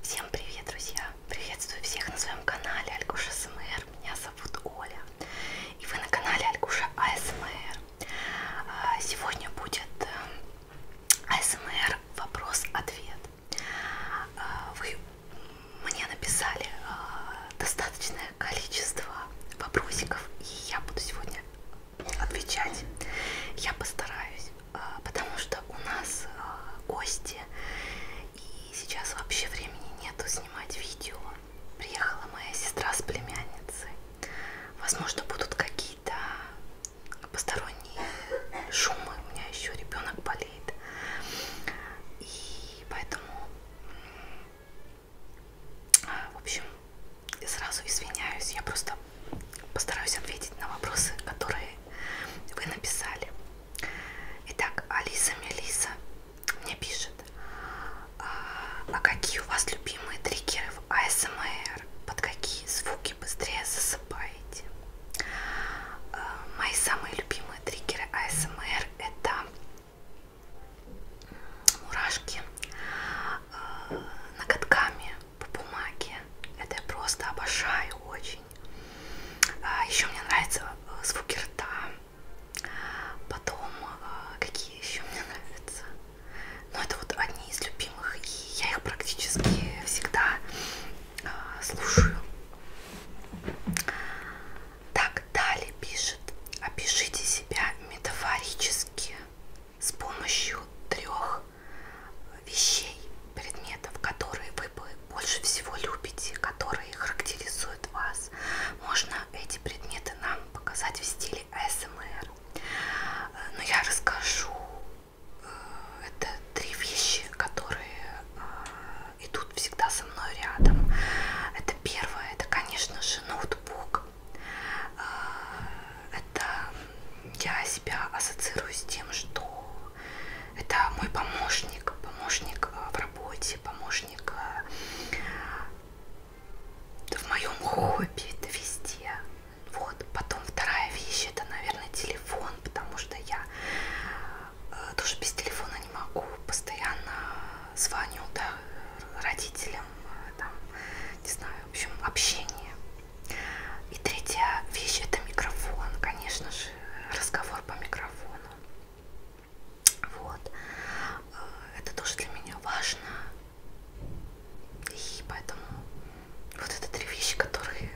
Всем привет, друзья! Приветствую всех на своем канале Алькуша СМР. Меня зовут Оля. И вы на канале Алькуша АСМР. А, сегодня будет э, АСМР вопрос-ответ. А, вы мне написали а, достаточное количество вопросиков, и я буду сегодня отвечать. Я постараюсь. А, потому что у нас а, гости, и сейчас вообще времени нету снимать видео. Приехала моя сестра с племянницей. Возможно, будут какие-то посторонние шумы. У меня еще ребенок болеет. И поэтому, а, в общем, сразу извиняюсь, я просто постараюсь ответить на вопросы, которые вы написали. Итак, Алиса Мелиса мне пишет, а, а какие у вас любимые триггеры в АСМР? Под какие звуки быстрее засыпаете? А, мои самые любимые триггеры АСМР это мурашки а, ноготками, по бумаге. Это я просто обожаю очень. А, еще мне нравятся э, звуки рта. Потом, а, какие еще мне нравятся. Но ну, это вот одни из любимых, и я их практически всегда а, слушаю. Так, далее пишет. Опишите себя метафорически с помощью трех вещей, предметов, которые вы больше всего любите, которые характеризуют вас. Можно эти предметы нам показать в стиле АСМР. Но я расскажу. Э, это три вещи, которые э, идут всегда со мной рядом. Это первое, это, конечно же, ноутбук. Э, это я себя ассоциирую с тем, что это мой помощник, помощник э, в работе, помощник э, в моем хобби, это везде. Вот, потом вторая вещь, это, наверное, телефон, потому что я э, тоже без телефона не могу, постоянно звоню, да, родителям, там, не знаю, в общем, общение. И третья вещь это микрофон, конечно же, разговор по микрофону. Вот. Э, это тоже для меня важно. И поэтому вот это три вещи, которые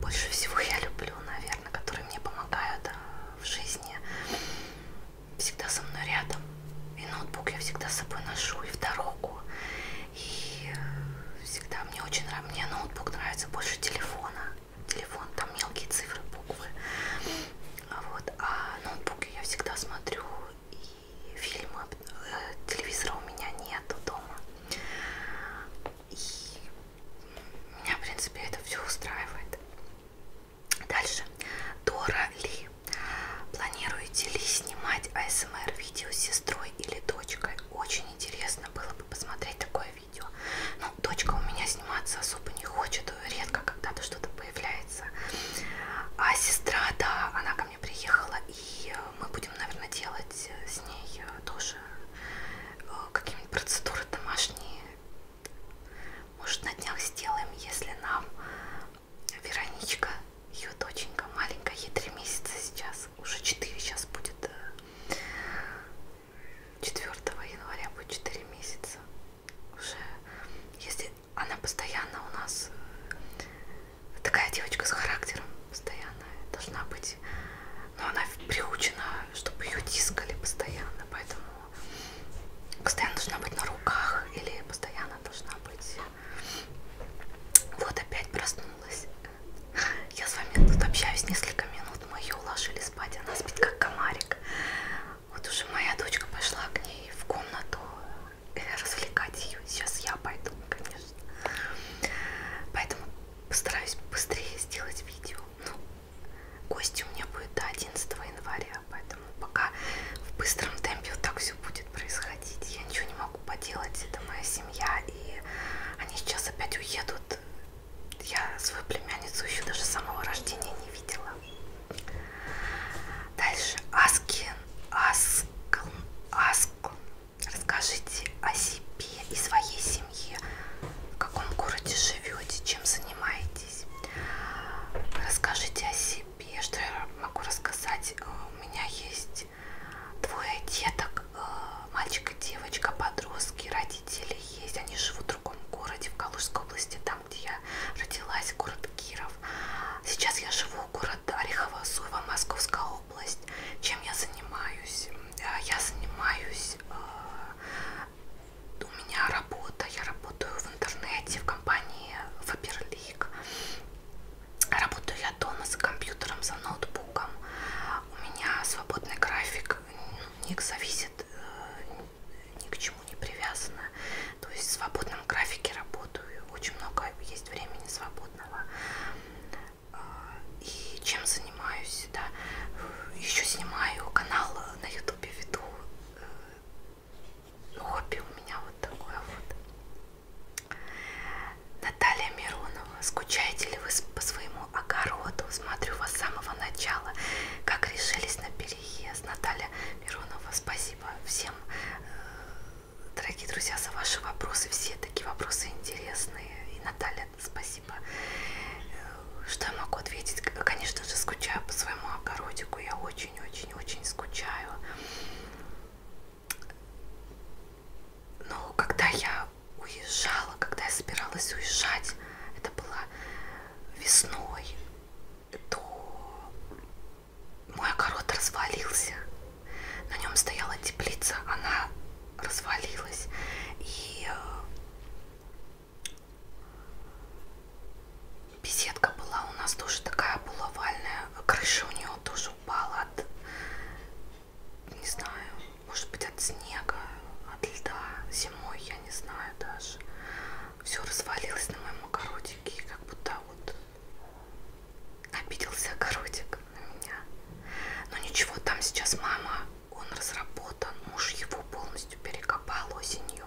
больше всего я люблю, наверное, которые мне помогают э, в жизни. Всегда со мной рядом. И ноутбук я всегда с собой ношу, и в дорогу, и всегда мне очень нравится, мне ноутбук нравится больше телефона. Телефон, там мелкие цифры, буквы. А вот. А ноутбуки я всегда смотрю и фильмы. Э, телевизора у меня нету дома. И меня, в принципе, это все устраивает. Дальше. Дора Ли. Планируете ли снимать АСМР видео с сестрой сестрой или дочкой. Очень интересно было бы посмотреть такое видео. Ну, дочка у меня сниматься особо не хочет, редко когда-то что-то появляется. А сестра, да, она ко мне приехала, и мы будем, наверное, делать с ней тоже э, какие-нибудь процедуры домашние. Может, на днях сделаем, если нам Вероничка ее доченька маленькая, ей 3 месяца сейчас, уже 4 сейчас будет, 4 э, января будет 4 месяца. Уже, если она постоянно у нас, э, такая девочка с характером постоянно должна быть, но она приучена, чтобы ее тискали постоянно, поэтому постоянно должна быть на руках или постоянно должна быть вот опять проснулась. Я с вами тут общаюсь несколько минут. Мы ее уложили спать. Она спит как комарик. Вот уже моя дочка пошла к ней в комнату э, развлекать ее. Сейчас я пойду, конечно. Поэтому постараюсь быстрее сделать видео. Ну, гости у меня будет до 11 января, поэтому пока в быстром темпе вот так все будет происходить. Я ничего не могу поделать, это моя семья, и они сейчас опять уедут. Я свою племянницу еще даже с самого рождения не видела. Дальше. Аскин, Аскл, Аскл. Расскажите о себе и своей семье. В каком городе живете, чем занимаетесь. Расскажите о себе, что я могу рассказать. Э, у меня есть здесь двое деток, э, мальчик и девочка, подростки, родители есть, они живут в другом городе, в Калужской области, там, где я родилась, город Киров. Сейчас я живу в город Орехово-Зуево, Московская область. Чем я занимаюсь? Э, я занимаюсь... Э, у меня работа, я работаю в интернете, в компании Faberlic. Работаю я дома за компьютером, за ноутбуком. У меня свободный график, ник зависит, э, ни к чему не привязано. То есть в свободном графике работаю, очень много есть времени свободного. А, и чем занимаюсь, да, еще снимаю канал на ютубе, веду э, хобби у меня вот такое вот. Наталья Миронова, скучаете ли вы по своему огороду? Смотрю вас с самого начала. Как решились на переезд? Наталья Миронова, спасибо всем, э, дорогие друзья, за ваши вопросы. Все такие вопросы интересные. И Наталья, спасибо. Э, что я могу ответить? Конечно же, скучаю по своему огородику. Я очень-очень-очень скучаю. Но когда я уезжала, когда я собиралась уезжать, это было весной, то мой огород развалился. На нем стояла теплица, она развалилась. И э, беседка была у нас тоже такая полуовальная, крыша у нее тоже упала от, не знаю, может быть от снега, от льда, зимой, я не знаю даже. Все развалилось на моем огородике, как будто вот обиделся огородик на меня. Но ничего, там сейчас мама, он разработан, муж его полностью перекопал осенью.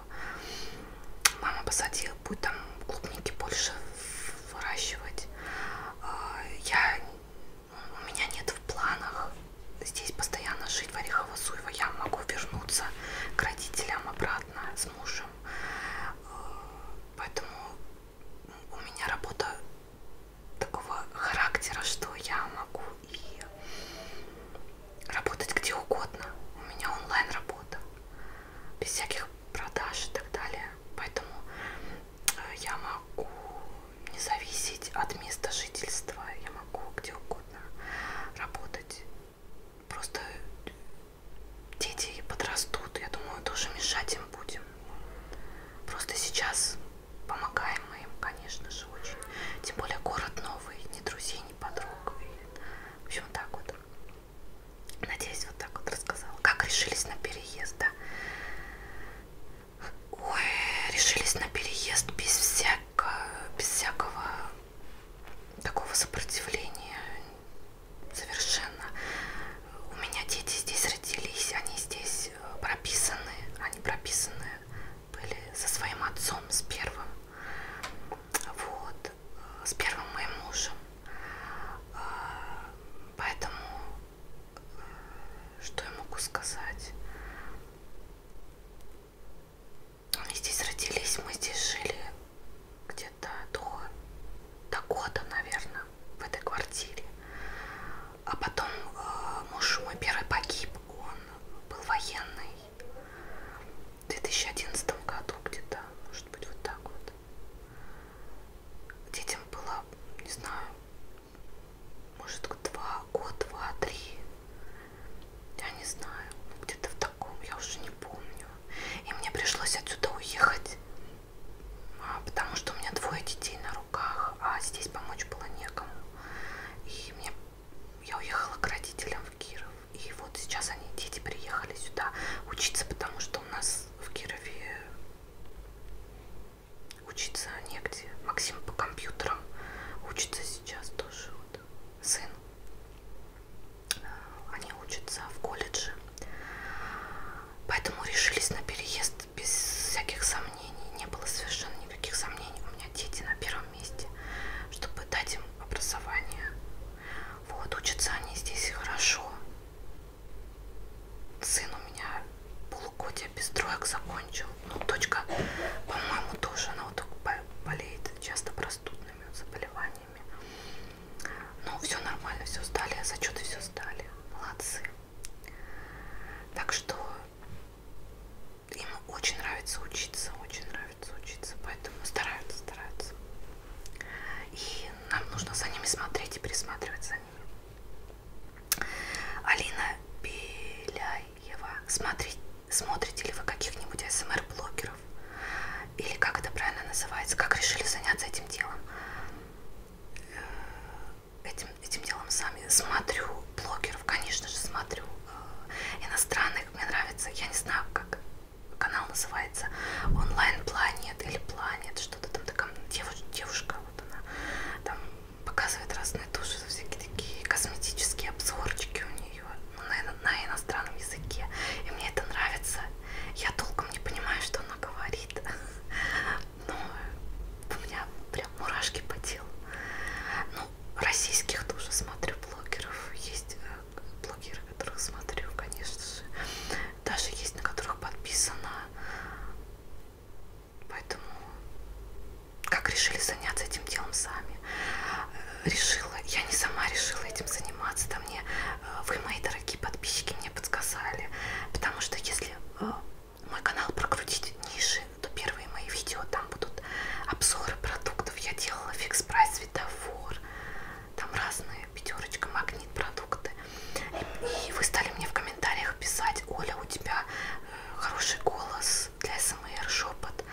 Мама посадила, будет там клубники больше в выращивать. А, я, у меня нет в планах здесь постоянно жить в Орехово-Зуево. Я могу вернуться к родителям обратно с мужем. А, поэтому у меня работа такого характера, что я могу и работать где угодно. У меня онлайн работа без всяких продаж и так далее. Поэтому э, я могу не зависеть от места жительства, я могу где угодно работать. Просто дети подрастут, я думаю, тоже мешать им будем. Просто сейчас помогаем мы им, конечно же, очень. Тем более город новый, ни друзей, ни подруг. И, в общем, так вот. Надеюсь, вот так вот рассказала. Как решились на переезд, да? Ой, решились на переезд без всякого, без всякого такого сопротивления. Совершенно. У меня дети здесь родились, они здесь э, прописаны. Они прописаны были со своим отцом, с первым. Вот, э, с первым моим мужем. Э, Поэтому, э, что я могу сказать? Мы здесь родились, мы здесь жили где-то до, до года, наверное, в этой квартире. А потом э, муж мой первый погиб, он был военный в 2011 году где-то, может быть, вот так вот детям было, не знаю, может, два, год, два, три. Я не знаю, где-то в таком, я уже не помню. И мне пришлось отсюда уехать, а, потому что у меня двое детей на руках, а здесь помочь было некому. И мне, я уехала к родителям в Киров. И вот сейчас они, дети, приехали сюда учиться, потому что у нас нас в Кирове учиться негде. Максим по компьютерам учится сейчас тоже. Вот. Сын. А, они учатся в колледже. Поэтому решились на переезд без всяких сомнений. Не было совершенно никаких сомнений. У меня дети на первом месте, чтобы дать им образование. Вот, учатся они здесь хорошо. Сын у меня полугодие без троек закончил. Ну, дочка, по-моему, тоже она вот болеет часто простудными заболеваниями. Ну, все нормально, все сдали, а зачеты все сдали. Молодцы. Так что им очень нравится учиться, очень нравится учиться, поэтому стараются, стараются. И нам нужно за ними смотреть и присматривать за ними. Алина Беляева, смотрите, смотрите ли вы каких-нибудь СМР-блогеров? Или как это правильно называется? Как решили заняться этим делом? Э, этим, этим делом сами смотрю блогеров, конечно же, смотрю э, иностранных, мне нравится, я не знаю, как канал называется онлайн планет или планет что-то там такая девушка, девушка вот она там показывает разные туши всякие такие косметические обзорчики у нее на, на иностранном языке и мне это нравится я толком не понимаю что она говорит но у меня прям мурашки по телу ну российских тоже смотрю блогеров есть э, блогеры которых смотрю, конечно же. Даже есть, на которых подписано. Поэтому как решили заняться этим делом сами. Э, решила, я не сама решила этим заниматься, да мне э, вы, мои дорогие подписчики, мне подсказали. Потому что если э, мой канал прокрутить ниже, то первые мои видео там будут обзоры продуктов. Я делала фикс прайс светофор, там разные пятерочка, магнит, продукты. И, и вы стали мне в комментариях писать, Оля, у тебя э, хороший голос для СМР, шепот,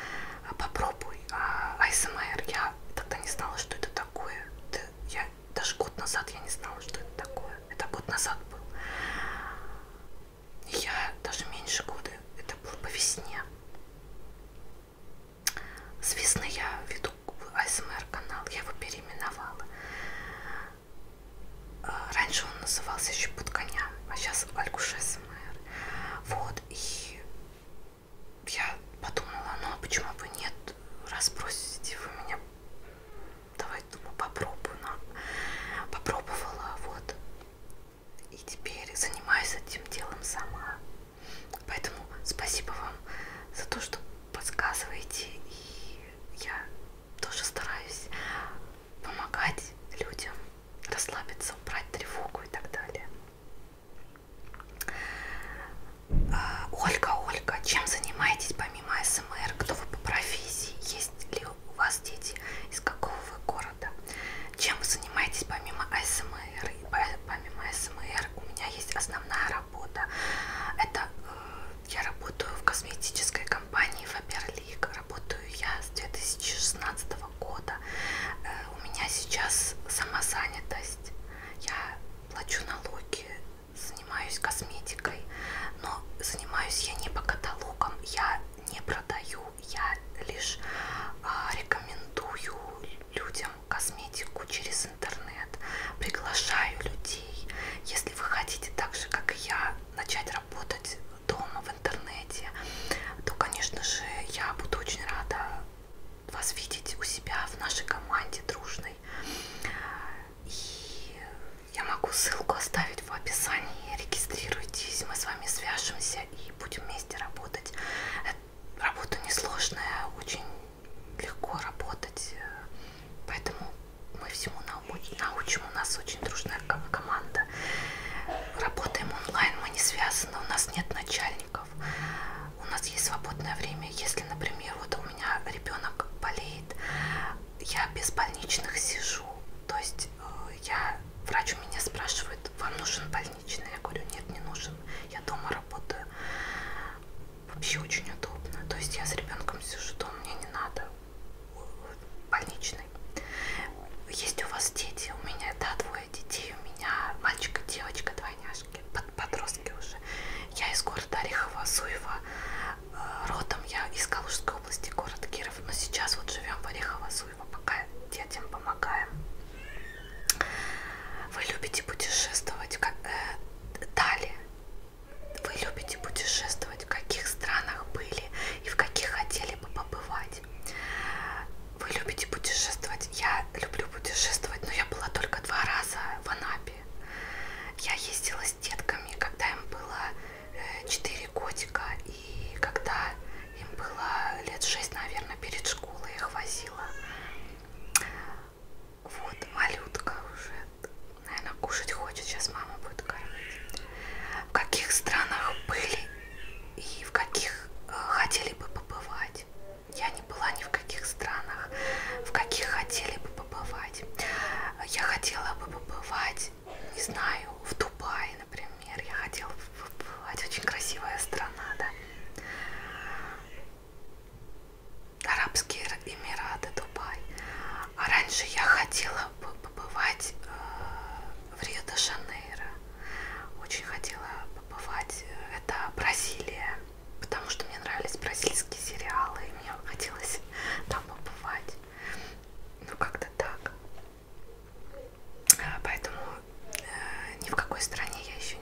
а попробуй а, АСМР. Я тогда не знала, что это такое. Это, я, даже год назад я не знала, что это такое. Это год назад был. Я даже меньше года, это было по весне. Звісно, я веду АСМР канал, я его переименовала. Э, раньше он назывался еще под коня, а сейчас Алькуш АСМР. Вот, и я подумала, ну а почему бы нет, раз просите вы меня, давай, думаю, попробую, на. попробовала, вот, и теперь занимаюсь этим делом сама. Поэтому спасибо вам за то, что подсказываете. И я тоже стараюсь помогать людям расслабиться, убрать тревогу и так далее. А, Ольга, Ольга, чем занимаетесь помимо СМР? Кто вы по профессии? Есть ли у вас дети? Из какого вы города? Чем вы занимаетесь помимо СМР? Помимо СМР у меня есть основная работа. Это э, я работаю в косметической компании Faberlic. Работаю я с 2016 года. Э, у меня сейчас самозанятость. Я плачу налоги, занимаюсь косметикой, но занимаюсь я не по каталогам, я не продаю, я лишь а, рекомендую людям косметику через интернет, приглашаю людей. Если вы хотите так же, как и я, начать работать дома в интернете, то, конечно же, я буду очень рада вас видеть у себя в нашей команде дружной. И я могу ссылку оставить в описании. Регистрируйтесь, мы с вами свяжемся и будем вместе работать. Э, работа несложная, очень легко работать. Поэтому мы всему научим. У нас очень дружная команда. Работаем онлайн, мы не связаны, у нас нет начальников. У нас есть свободное время. Если, например, вот у меня ребенок болеет, я без больничных сижу. То есть э, я врач у меня спрашивает, вам нужен больничный? Я говорю, нет, не нужен. Я дома работаю вообще очень удобно. То есть я с ребенком сижу дома, мне не надо больничный. Есть у вас дети, у меня, да, двое детей, у меня мальчик и девочка, двойняшки, под, подростки уже. Я из города Орехова, Суева, э, родом я из Калужской области, город Киров, но сейчас вот живем в Орехово, Суева, пока детям помогаем. Вы любите путешествовать как э, далее. Вы любите путешествовать, в каких странах были и в каких хотели бы побывать. Вы любите путешествовать. Я люблю путешествовать, но я была только два раза в Анапе. Я ездила с детками, когда им было 4 э, годика, и когда им было лет 6, наверное, перед школой их возила. Вот, малютка уже, наверное, кушать хочет, сейчас мама будет кормить. В каких странах были и в каких э, хотели бы побывать? Я не была ни в каких странах, в каких хотели бы побывать. Я хотела бы побывать, не знаю, в Дубае, например. Я хотела бы побывать, очень красивая страна, да. Арабские Эмираты, Дубай. А раньше я хотела побывать э, в Рио-де-Жанейро. Очень хотела побывать. Это Бразилия. Потому что мне нравились бразильские сериалы. И мне хотелось там побывать. Ну, как-то так. Э, поэтому э, ни в какой стране я еще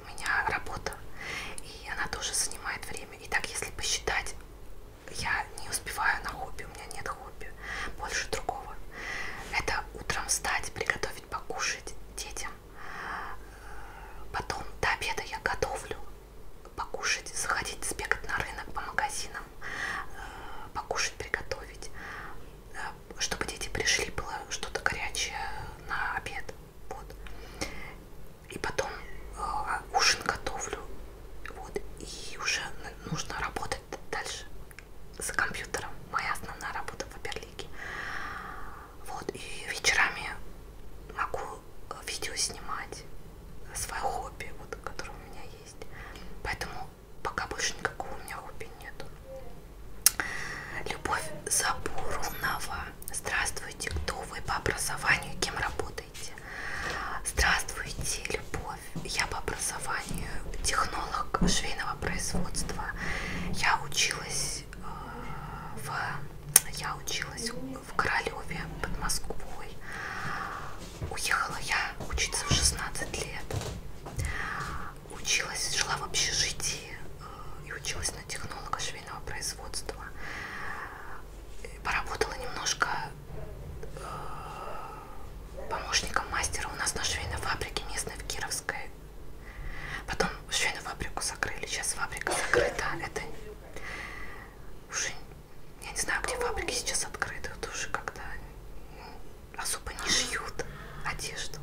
у меня работа, и она тоже занимает время. И так, если посчитать, я не успеваю на хобби, у меня нет хобби, больше другого. Это утром встать, приготовить, покушать детям. Потом до обеда я готовлю, покушать, заходить, сбегать на рынок по магазинам, э, покушать, приготовить. Э, чтобы дети пришли, было что-то горячее на обед. Вот. И потом э, ужин готовлю. Вот. И уже нужно работать дальше за компьютером. Моя основная работа в Аберлике. Вот. И вечерами могу э, видео снимать. Э, свое хобби, вот, которое у меня есть. Поэтому пока больше никакого у меня хобби нету. Любовь Забурунова. Здравствуйте, кто вы по образованию, кем работаете? Здравствуйте, Любовь. Я по образованию технолог швейного производства. Я училась э, в я училась в Королеве под Москвой. Уехала я учиться в 16 лет училась, жила в общежитии э, и училась на технолога швейного производства. Поработала немножко э, помощником мастера у нас на швейной фабрике местной в Кировской. Потом швейную фабрику закрыли, сейчас фабрика закрыта. Это уже я не знаю, где фабрики сейчас открыты, это уже когда особо не шьют одежду.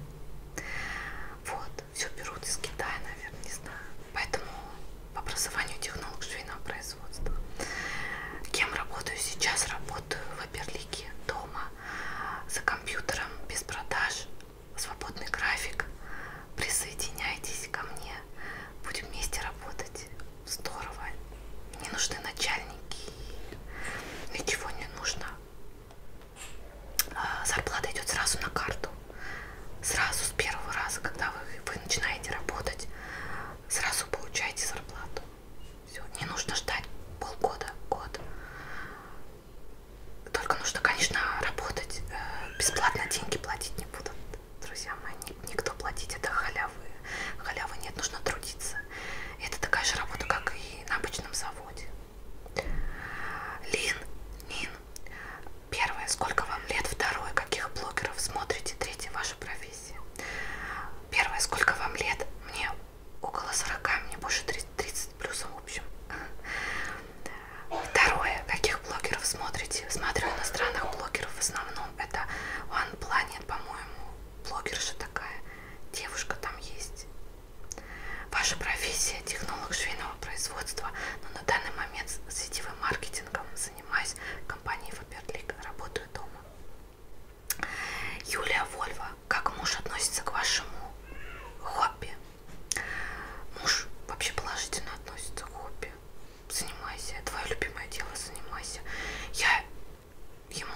Вот. Все берут из Китая, наверное, не знаю. Поэтому по образованию технолог швейного производства. Кем работаю сейчас? Работаю в Аберлике, дома, за компьютером, без продаж, свободный график. Присоединяйтесь ко мне, будем вместе работать. Здорово. Не нужны начальники, ничего не нужно. А, зарплата идет сразу на карту. Сразу с первого раза, когда вы, вы начинаете работать, сразу получаете зарплату. Все, не нужно ждать полгода, год. Только нужно, конечно, работать. Э, бесплатно деньги платить не будут, друзья мои. Никто платить это халявы. Халявы нет, нужно трудиться. Это такая же работа, как и на обычном заводе. Лин, Нин. Первое, сколько вам лет? Второе, каких блогеров смотрите? Третье, ваша профессия. Первое, сколько вам лет? Мне около 40, мне больше 30, 30 плюсом, в общем. Второе, каких блогеров смотрите? Смотрю иностранных блогеров в основном. Это One Planet, по-моему, блогерша такая. Девушка там есть. Ваша профессия – технолог швейного производства, но на данный момент сетевым маркетингом занимаюсь в компании Фаберлик, работаю дома. Юлия Вольва. Как муж относится к вашему хобби? Муж вообще положительно относится к хобби. Занимайся. Твое любимое дело занимайся. Я ему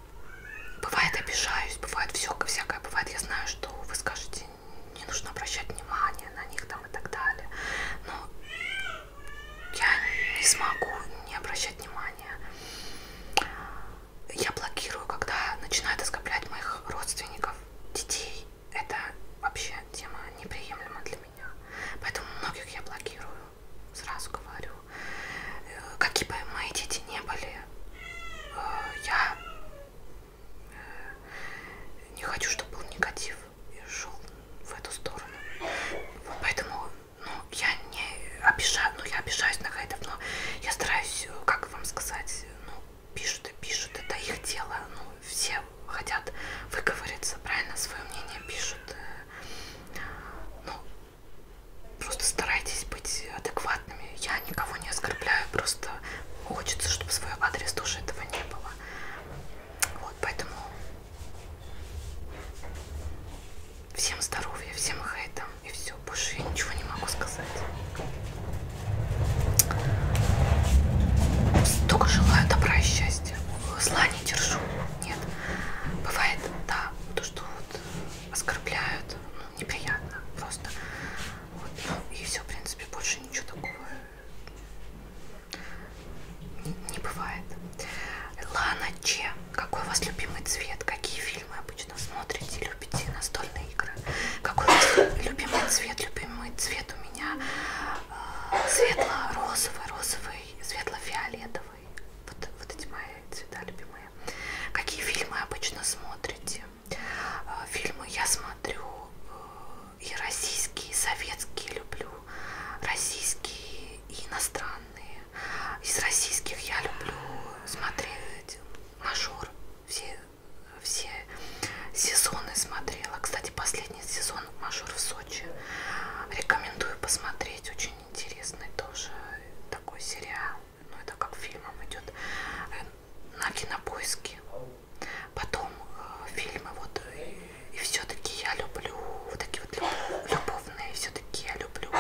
Бывает обижаюсь, бывает все всякое, бывает я знаю, что вы скажете, не нужно обращать внимание на них там и так далее, но я не смогу не обращать внимания. Я блокирую, когда начинают оскорблять моих родственников, детей. Это вообще тема неприемлема для меня. Поэтому многих я блокирую сразу говорю. «Э, какие бы мои дети не были, э, я э, не хочу, чтобы был негатив и шел в эту сторону. Вот поэтому ну, я не обижаю, ну я обижаюсь на хейтов, но я стараюсь, как вам сказать, ну, пишут и пишут, это их дело. Ну, все хотят выговориться, правильно, свое мнение пишут. Ну, Просто старайтесь быть адекватными. Я никого не оскорбляю, просто хочется, чтобы в свой адрес тоже этого не было. Вот, поэтому всем здоровья, всем хейтам и все. Больше я ничего не могу сказать. Только желаю добра и счастья. Зла не держу. Нет. Бывает, да, то, что вот оскорбляют, ну, неприятно просто. Вот, ну, и все, в принципе, больше ничего такого не, не бывает. Лана Че, какой у вас любимый цвет? Какие фильмы обычно смотрите, любите настольные игры? Какой у вас любимый цвет? Любимый цвет у меня э, светло-розовый, розовый, светло-фиолетовый розовый. Вот, вот эти мои цвета любимые. Какие фильмы обычно смотрите? А, фильмы я смотрю э, и российские, и советские люблю, российские и иностранные. Из российских я люблю смотреть мажор. Все, все сезоны смотрела. Кстати, последний сезон мажор в Сочи. Рекомендую посмотреть. Очень интересный тоже такой сериал. Ну, это как фильмом идет э, на кинопоиске. Потом э, фильмы вот э, и, и все-таки я люблю вот такие вот люб, любовные, все-таки я люблю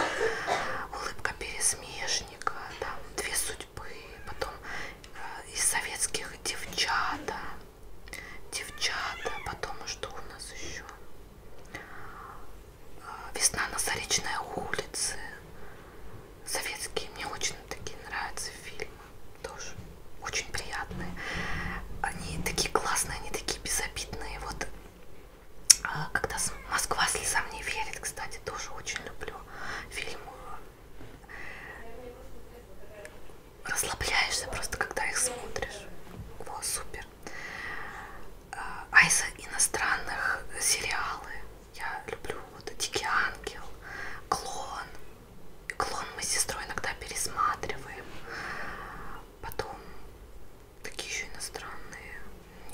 улыбка пересмешника, там две судьбы, потом э, из советских девчата, девчата, потом а что у нас еще? Весна на Заречной улице. Советские мне очень такие нравятся фильмы. Тоже очень приятные. Они такие классные, они такие безобидные. Вот а, когда Москва слезам не верит, кстати, тоже очень люблю фильм. Расслабляешься просто, когда их смотришь. О, супер супер. А, а из иностранных сериалы я люблю вот Дикий Ангел, Клон. Клон мы с сестрой иногда пересматриваем. Потом такие еще иностранные,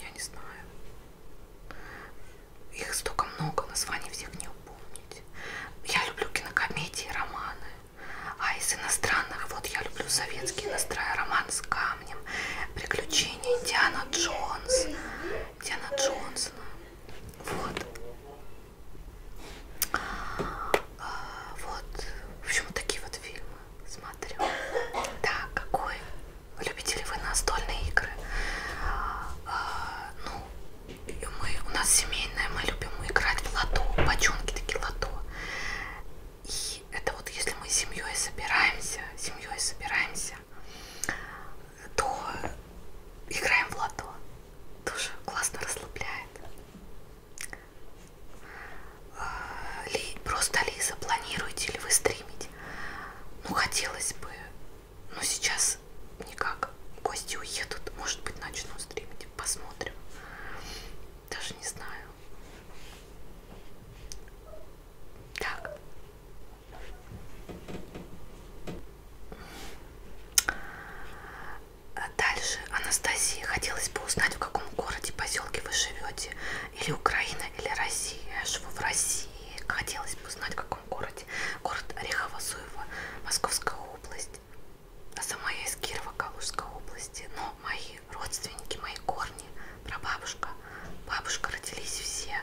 я не знаю. Их столько много, названий всех не упомнить. Я люблю кинокомедии, романы. А из иностранных, вот я люблю советский иностранный роман с камнем. Приключения Диана Джонс. Диана Джонсона. Вот. А, вот. В общем, вот такие вот фильмы смотрю. Да, какой? Любите ли вы настольные игры? А, ну, мы, у нас семейная, мы любим играть в лото. Бочонки такие лото. И это вот если мы с семьей собираемся, семьей собираемся, то играем в лото. Тоже классно расслабляет. А, ли, просто Лиза, планируете ли вы стримить? Ну, хотелось бы, но сейчас никак. Гости уедут, может быть, начну стримить, посмотрим. Даже не знаю. Так. Дальше, Анастасия, хотелось бы узнать, в каком городе, поселке вы живете. Или Украина, или Россия. Я живу в России. Хотелось бы узнать, в каком городе. Город Орехово-Зуево, Московская область. А сама я из Кирова, Калужской области. Но мои родственники, мои корни, прабабушка, бабушка родились все.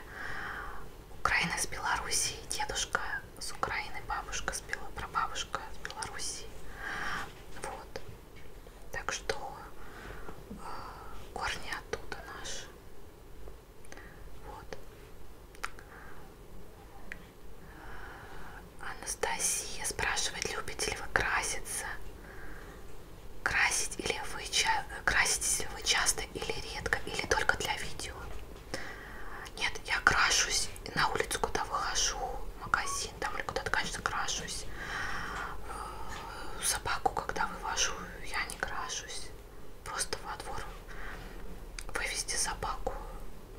Украина с Белоруссией, дедушка с Украины, бабушка с Белоруссией, прабабушка с Белоруссии. Вот. Так что э, корни оттуда наши. Вот. Анастасия спрашивает, любите ли вы краситься? Красить или вы, краситесь ли вы часто или редко, или только для видео? Нет, я крашусь, на улицу куда выхожу, в магазин там или куда-то, конечно, крашусь. Э, собаку, когда вывожу, я не крашусь. Просто во двор вывести собаку.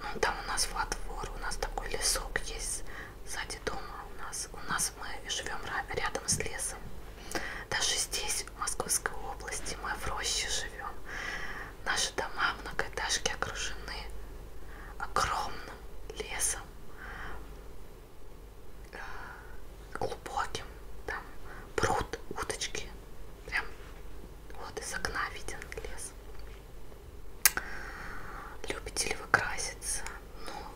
Ну, там у нас во двор, у нас такой лесок есть сзади дома у нас. У нас мы живем рядом с лесом. Даже здесь, в Московской области, мы в роще живем. Наши дома многоэтажки окружены огромным лесом, э, глубоким. Там пруд, уточки. Прям вот из окна виден лес. Любите ли вы краситься? ну,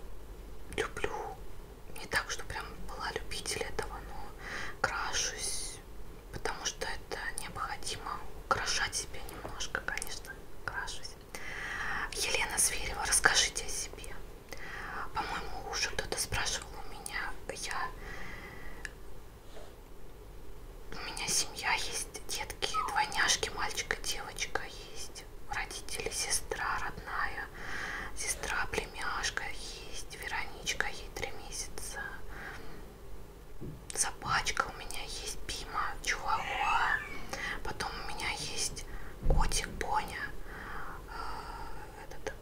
люблю. Не так, что прям была любитель этого, но крашусь, потому что это необходимо. Украшать себя немножко, конечно, крашусь. Елена Зверева, расскажите о себе. По-моему, уже кто-то спрашивал у меня, я... У меня семья есть, детки, двойняшки, мальчик и девочка есть есть родители, сестра родная, сестра племяшка есть, Вероничка ей три месяца, собачка у меня есть, Пима, Чуауа, потом у меня есть котик Боня, э, этот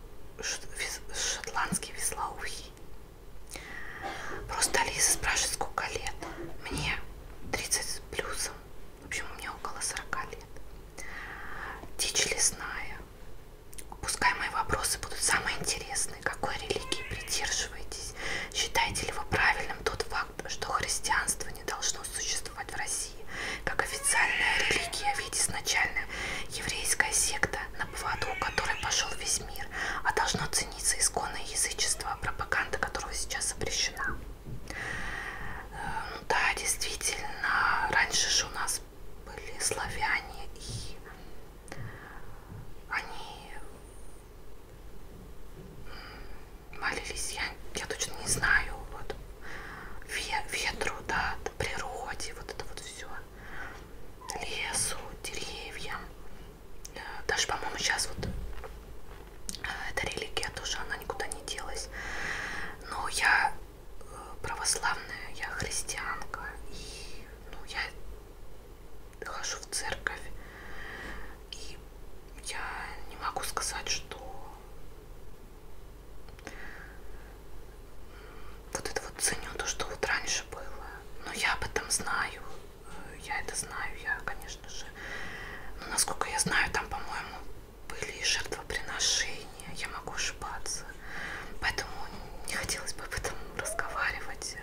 шотландский веслоухий. Просто Алиса спрашивает, сколько лет. Мне 30 плюсом в общем, у меня около 40 лет. Дичь лесная. Пускай мои вопросы будут самые интересные. Какой религии придерживаетесь? Считаете ли вы правильным тот факт, что христианство не должно существовать в России? Как официальная религия, ведь изначально еврейская секта, на поводу у которой пошел весь мир, а должно цениться исконное язычество, пропаганда которого сейчас запрещена. Да, действительно, раньше же у нас были славяне, и они молились, я, я точно не знаю, вот, ветру, да, природе, вот это вот все, лесу, деревьям, э, даже, по-моему, сейчас вот а, это религия тоже, она никуда не делась. Но я э, православная, я христианка, и ну, я хожу в церковь, и я не могу сказать, что вот это вот ценю то, что вот раньше было. Но я об этом знаю, э, я это знаю, я, конечно же, тоже. Но, насколько я знаю, там, по-моему, были и жертвоприношения. Я могу ошибаться. Поэтому не хотелось бы об этом разговаривать.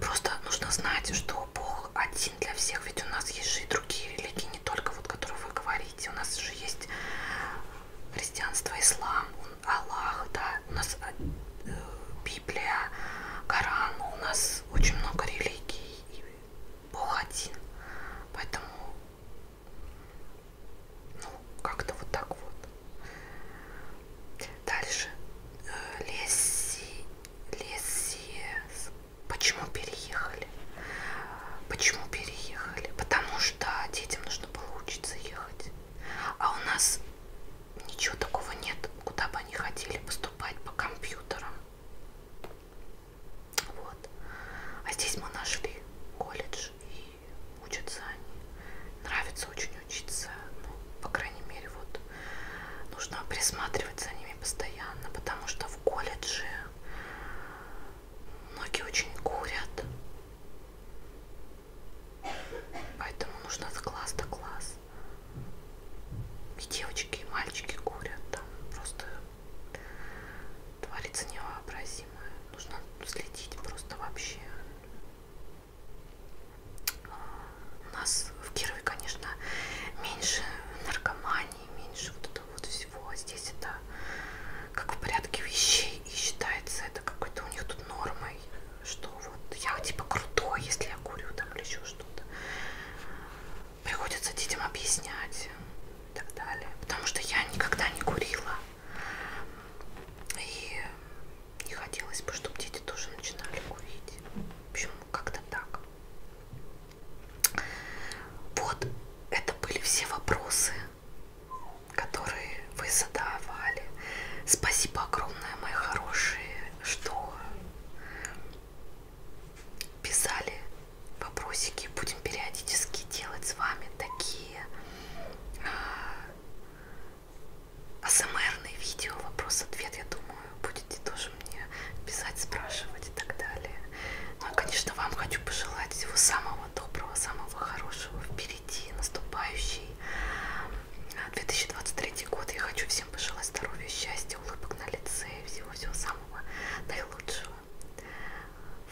Просто нужно знать, что Бог один для всех. Ведь у нас есть же и другие религии, не только вот, которые вы говорите. У нас же есть христианство, ислам, Аллах, да. У нас э, э, Библия, Коран. У нас очень много религий. И Бог один. Поэтому, ну, как-то вот так вот. Дальше. Э, леси, леси. Почему переехали? Почему переехали? Потому что детям нужно было учиться ехать. А у нас ничего такого нет, куда бы они хотели поступать по компьютерам. Вот. А здесь мы нашли колледж и учатся они. Нравится очень учиться. Ну, по крайней мере, вот нужно присматривать за ними постоянно, потому что в колледже многие очень курят. Поэтому нужно с класс до класс и девочки, и мальчики курят, там просто творится невообразимое. Нужно следить просто вообще. У нас в Кирове, конечно, меньше наркомании, меньше вот этого вот всего. А здесь это как в порядке вещей и считается это какой-то у них тут нормой, что вот я типа крутой, если я курю там или еще что-то приходится детям объяснять и так далее. Потому что я никогда не курила. И не хотелось бы, чтобы дети тоже начинали курить. В общем, как-то так. Вот это были все вопросы, которые вы задавали. Спасибо огромное, мои хорошие, что писали вопросики, будем периодически делать с вами такие а, асмрные видео, вопрос-ответ, я думаю, будете тоже мне писать, спрашивать и так далее. Ну и, а, конечно, вам хочу пожелать всего самого доброго, самого хорошего впереди, наступающий 2023 а, год. Я хочу всем Всем пожелаю здоровья, счастья, улыбок на лице и всего-всего самого наилучшего.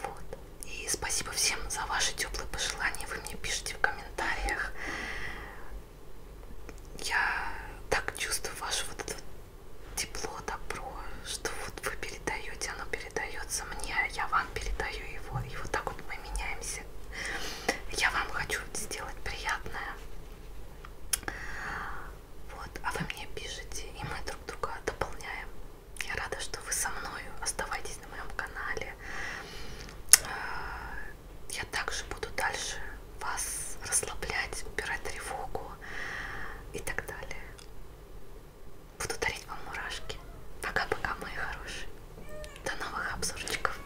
Вот. И спасибо всем за ваши теплые пожелания. Вы мне пишите в комментариях. Я так чувствую ваше вот это вот тепло, добро, что вот вы передаете, оно передается мне, а я вам передаю его. И вот так вот мы меняемся. Я вам хочу сделать приятное. Вот, а вы мне пишете, и мы друг друга дополняем. Я рада, что вы со мною. Оставайтесь на моем канале. Э, я также буду дальше вас расслаблять, убирать тревогу и так далее. Буду дарить вам мурашки. Пока-пока, мои хорошие. До новых обзорчиков.